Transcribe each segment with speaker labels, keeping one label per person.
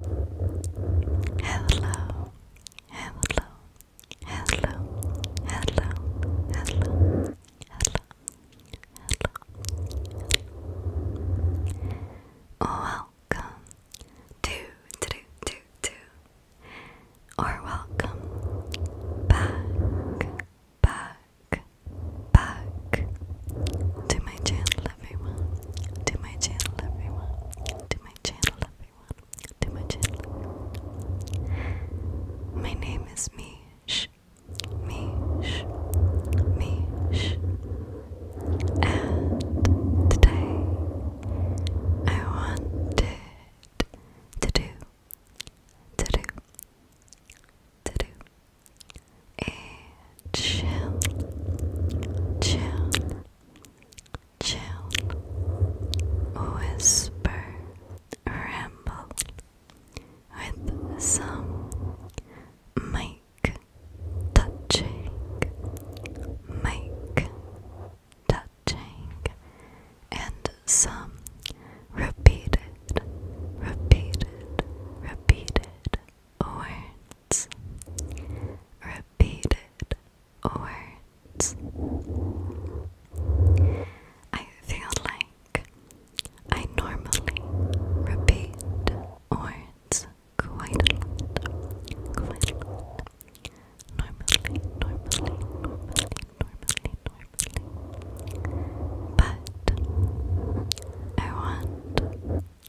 Speaker 1: Hello, hello, hello, hello, hello, hello, hello. Welcome to, to, to, to, or welcome back, back, back to my channel everyone, to my channel everyone, to my channel everyone, to my channel everyone. My name is Mish, Mish, Mish, and today I wanted to do, to do, to do. A chill, chill, chill, whisper, ramble with some mic touching, mic touching, and some repeated, repeated, repeated. Words repeated words. I feel like I normally repeat words quite a lot, quite a lot. Normally, normally, normally, normally, normally. But I want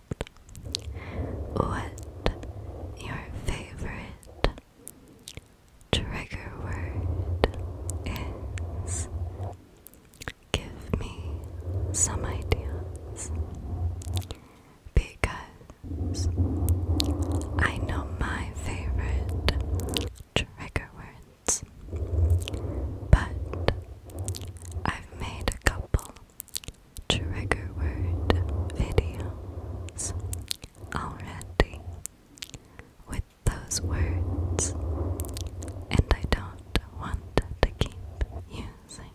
Speaker 1: out what your favorite trigger word is. Give me some ideas because I know my favorite trigger words, but I've made a couple trigger word videos already with those words, and I don't want to keep using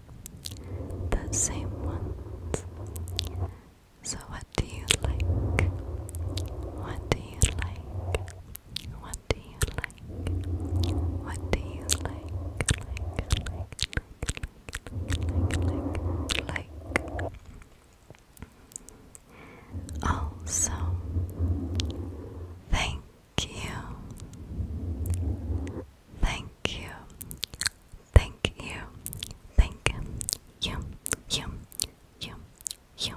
Speaker 1: the same ones. So, what do you like? What do you like? What do you like? What do you like? like, like, like. Also, thank you, thank you, thank you, thank you, you, you, you,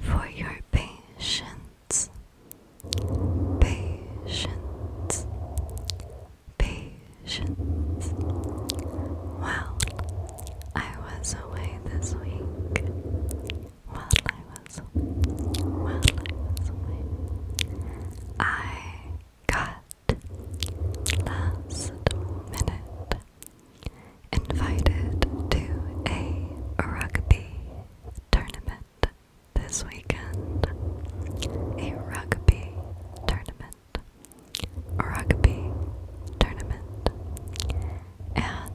Speaker 1: for your patience, patience, patience. Well, I was away this week. While I was while I was away, I got last minute invited to a rugby tournament this weekend. A rugby tournament rugby tournament, and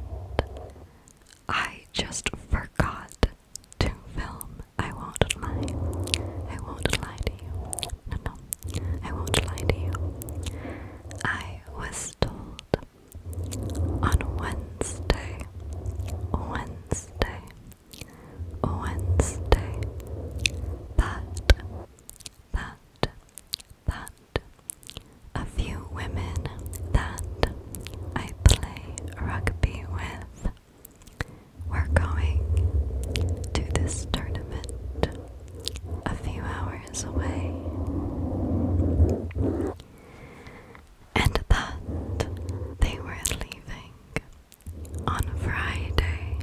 Speaker 1: I just forgot to film. I won't lie. I won't lie to you. No, no. I won't lie to you. I was told on Wednesday, Wednesday, Wednesday. That, that, that. A few women that I play rugby with. we going to this tournament a few hours away. And that they were leaving on Friday,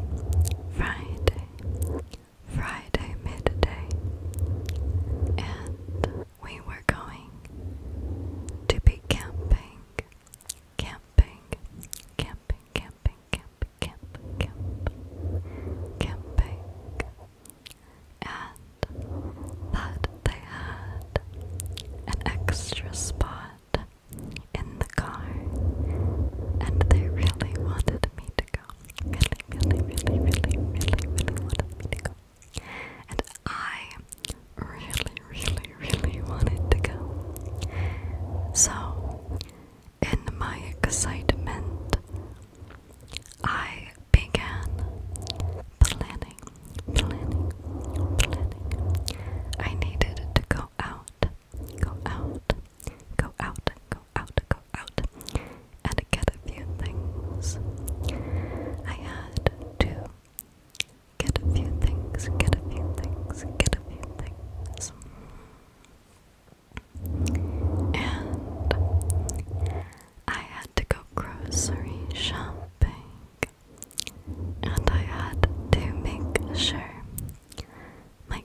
Speaker 1: Friday, Friday midday, and we were going to be camping, camping, camping, camping, camp, camp, camp, camping, and that they had an extra spot in the car, and they really wanted me to go. Really, really, really, really, really, really wanted me to go. And I really, really, really wanted to go. So, in my excitement, I began planning, planning, planning. I needed to go out go out, go out, go out, go out, and get a few things. I had to get a few things, get a few things, get a few things. And I had to go grocery shopping. And I had to make sure my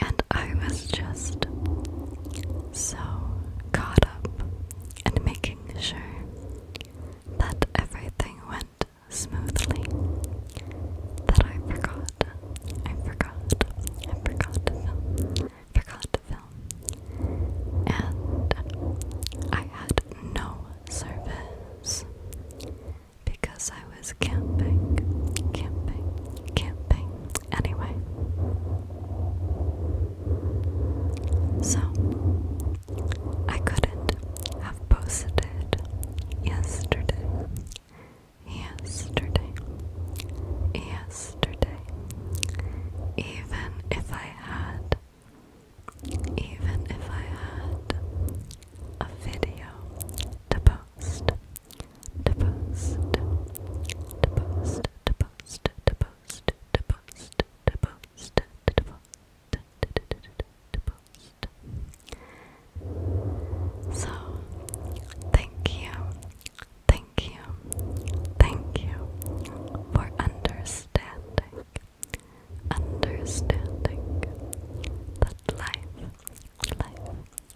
Speaker 1: And I was just so caught up and making sure that everything went smoothly that I forgot. I forgot. I forgot to film. Forgot to film. And I had no service because I was camping, camping, camping, Anyway, so I couldn't have posted yesterday, yesterday, yesterday, even if I had, even if I had a video to post to post, to post, to post, to post, to post, to post, to post. So, thank you, thank you, thank you for understanding, understanding that life, life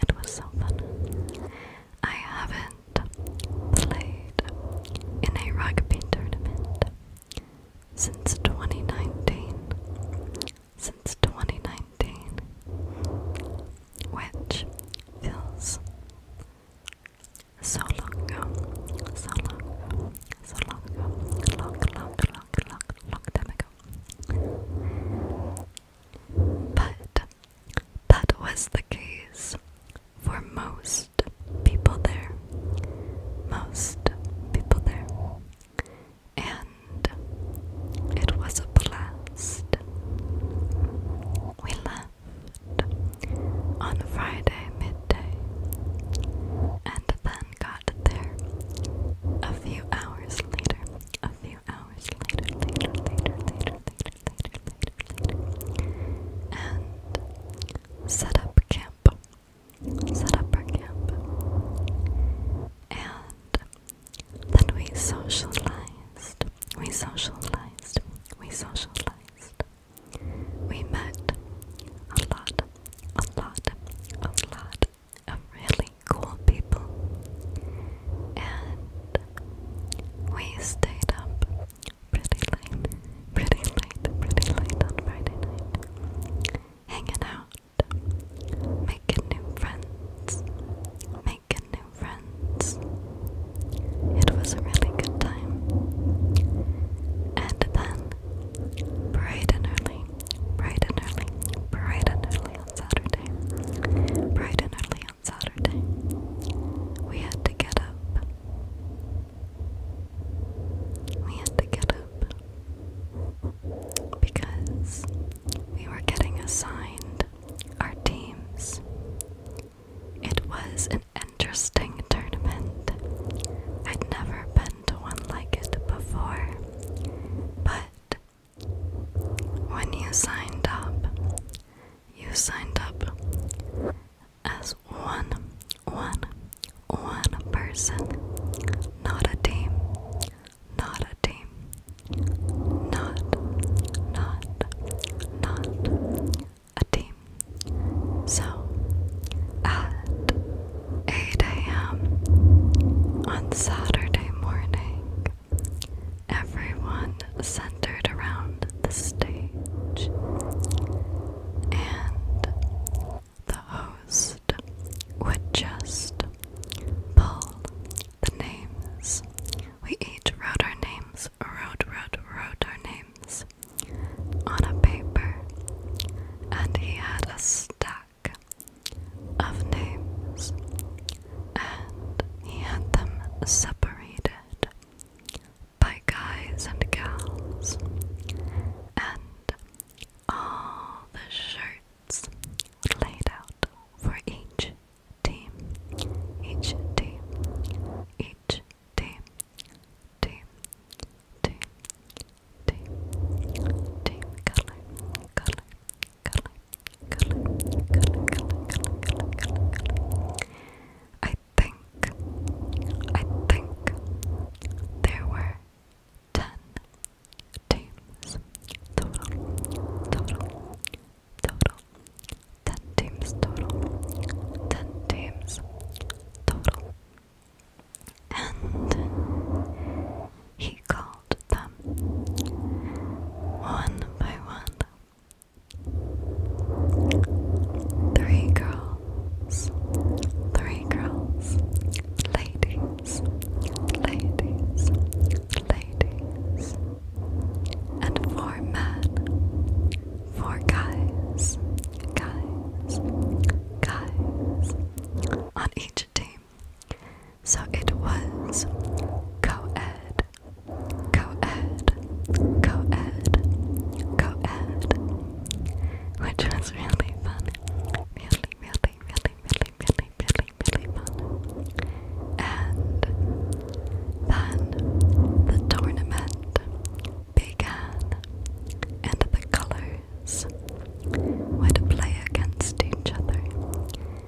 Speaker 1: It was so fun. I haven't played in a rugby tournament since 2019. Since 2019. Which feels so long ago. So long ago. So long ago. Long, long, long, long, long time ago. But that was the case for most people there. Most people there. And it was a blast. We left on Friday midday and then got there a few hours later. A few hours later, later, later, later, later, later, later, and set up camp. Set up our camp. And then we socialized. We socialized. We socialized. We met a lot, a lot, a lot of really cool people. And we stayed up pretty late, pretty late, pretty late on Friday night. Hanging out, making new friends, making new friends. It was a really good time. And then, bright and early, bright and early, bright and early on Saturday, bright and early on Saturday, we had to get up. We had to get up because we were getting assigned our teams. It was an interesting tournament. I'd never been to one like it before, but when you signed up, you signed up as one, one, one person, not a team, not a team, not, not, not a team. So, at 8 a.m. on Saturday morning, everyone centered around the stage, and the host would just pull the names. We each wrote our names, wrote, wrote, wrote our names on a paper, and he had a stack of names and he had them separated by guys and gals, and all the shirts laid out for each team, each team, each team, team, team, team, team, color, color, I think, I think there were ten teams total, total, total, ten teams total, ten teams total, and he called them one by one. Three girls, three girls, ladies, ladies, ladies, and four men, four guys, guys, guys on each team. So it was co ed, co ed, co ed, co ed, which was really fun. Really, really, really, really, really, really, really fun. And then the tournament began, and the colors would play against each other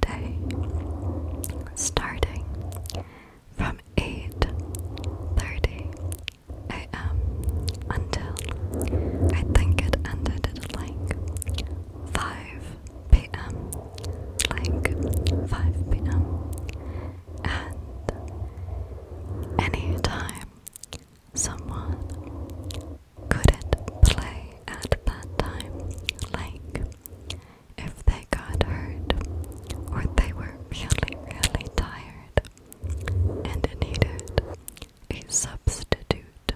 Speaker 1: day, starting from 8:30 a.m. until I think it ended at like 5 p.m. like 5 p.m. and any time someone couldn't play at that time like if they got hurt or they were really, really tired and needed a substitute.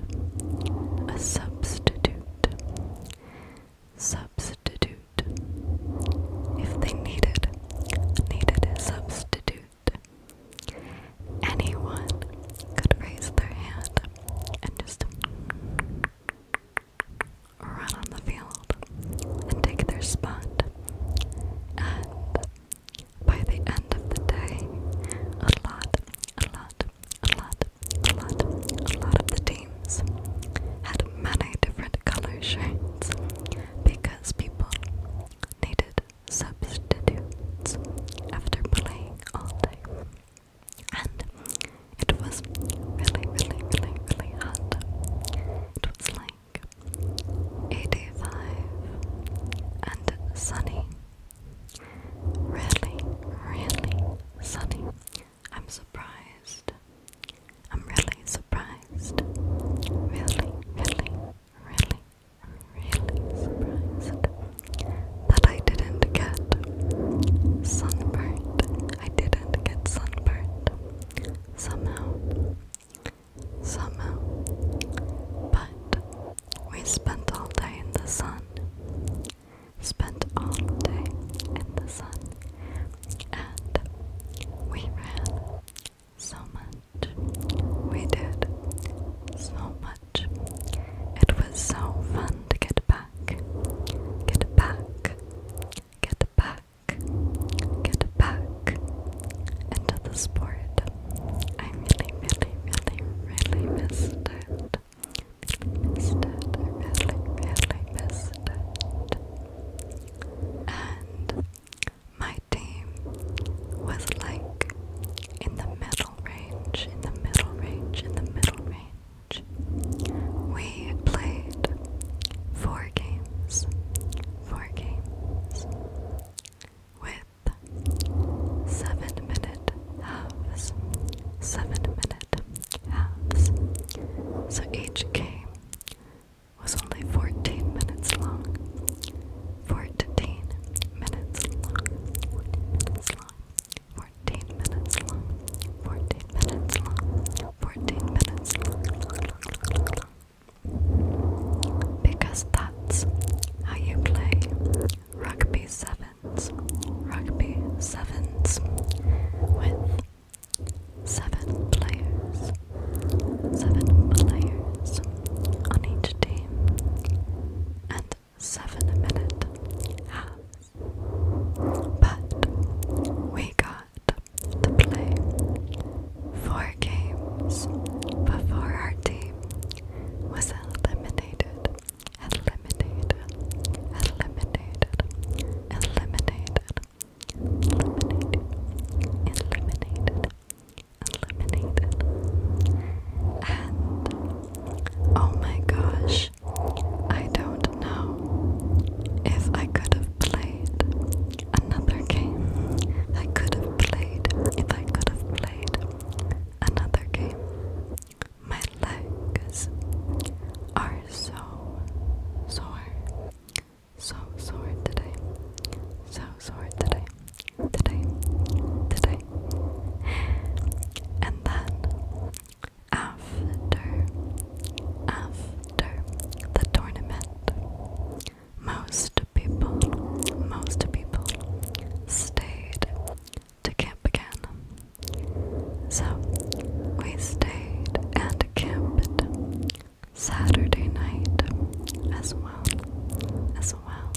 Speaker 1: A substitute. Substitute. If they needed, needed a substitute. Anyone could raise their hand and just run on the field and take their spot. And by the end of the day, a lot, a lot, a lot, a lot, a lot of the teams had many different color shades because people needed substitutes after playing all day and it was really, really, really, really hot. It was like 85 and sunny. Really, really sunny. I'm surprised. I'm really surprised. Really, really, really, really surprised that I didn't get sunburned I didn't get sunburned. Somehow. Somehow. But we spent all day in the sun. Spent all day in the sun. And we ran so much. We did so much. It was so fun to get back. Get back Get back, get back into the sport. I really, really, really, really missed it. missed it. I really, missed it. And my team was like in the middle range, in the middle range, in the middle range. We played four games, four games, with seven minute halves, seven minute halves. So each game was only 14 minutes long. 14 minutes long. minutes long. 14 minutes long. 14 minutes long. 14 minutes because that's how you play rugby sevens. Rugby sevens with seven players. Seven players on each team and seven minute But we got to play four games before our team was eliminated, eliminated, eliminated, eliminated, eliminated, eliminated, eliminated. And oh my gosh, I don't know if I could have played another game. I could have played, if I could have played another game. My legs are so sore. So sore today. So sore today. Today. Today. And then after, after the tournament, most people, most people stayed to camp again. So we stayed and camped Saturday night as well, as well,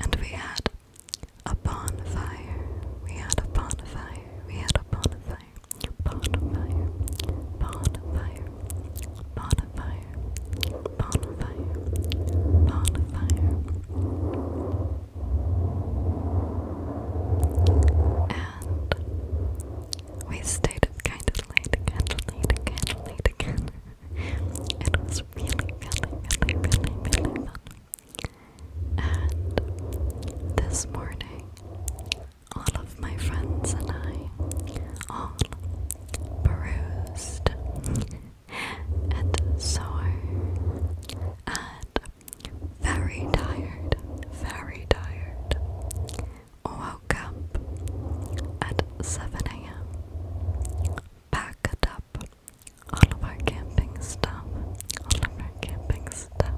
Speaker 1: and we had a bonfire. We had a bonfire. We had a bonfire bonfire, bonfire, bonfire, bonfire, bonfire, And we stayed up kind of late again, late again, late again. it was really, really, really, really fun. And this morning, all of my friends and I all bruised and sore and very tired, very tired. Woke up at 7 a.m. Packed up all of our camping stuff, all of our camping stuff,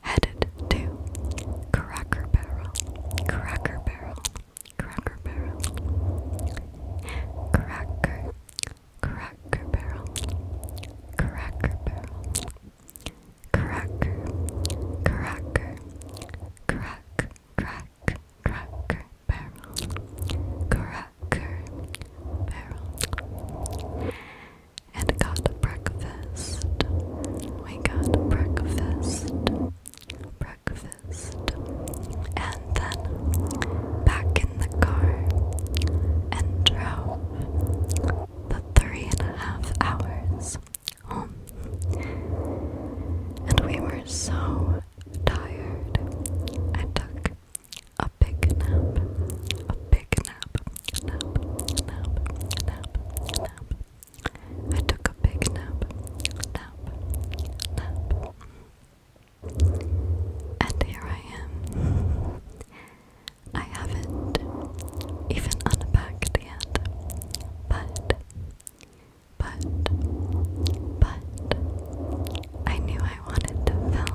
Speaker 1: headed to Cracker Barrel, Cracker Barrel, Cracker Barrel, Cracker, Cracker Barrel, Cracker Barrel, Cracker, Cracker, Crack, Crack, Cracker Barrel, Cracker Barrel and got breakfast. We got breakfast, breakfast, and then back in the car and drove the three and a half hours home. And we were so tired. I took a big nap, a take a nap. Nap, nap, nap, nap. I took a big nap. Nap, nap. And here I am. I haven't even unpacked yet. But, but, but, I knew I wanted to film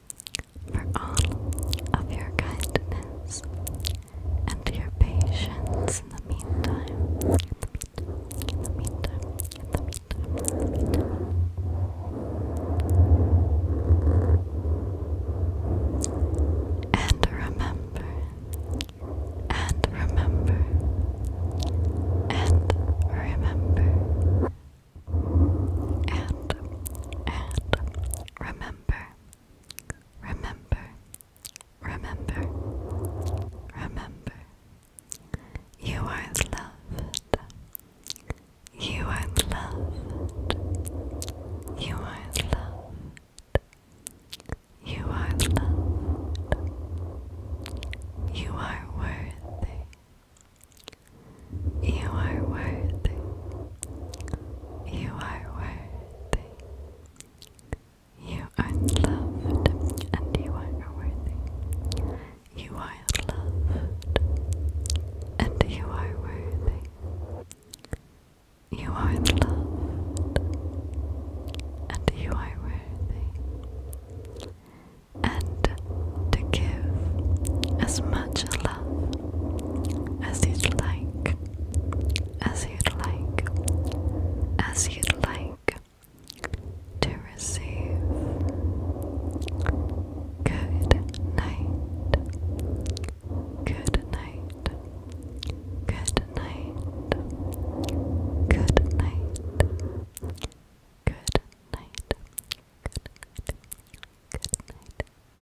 Speaker 1: for all of your kindness and your patience in the meantime. In the meantime, in the meantime, in the meantime. And remember, and remember, and remember, and, and remember. Remember, remember, remember. You are loved. You are loved. You are loved. You are loved. You are worthy. You are worthy. You are worthy. You are loved and you are worthy. You are loved and you are worthy. You are loved and you are worthy. And to give as much love as you'd like as you'd like, as you'd like to receive. Good night, good night, good night, good night, good night, good night, good night.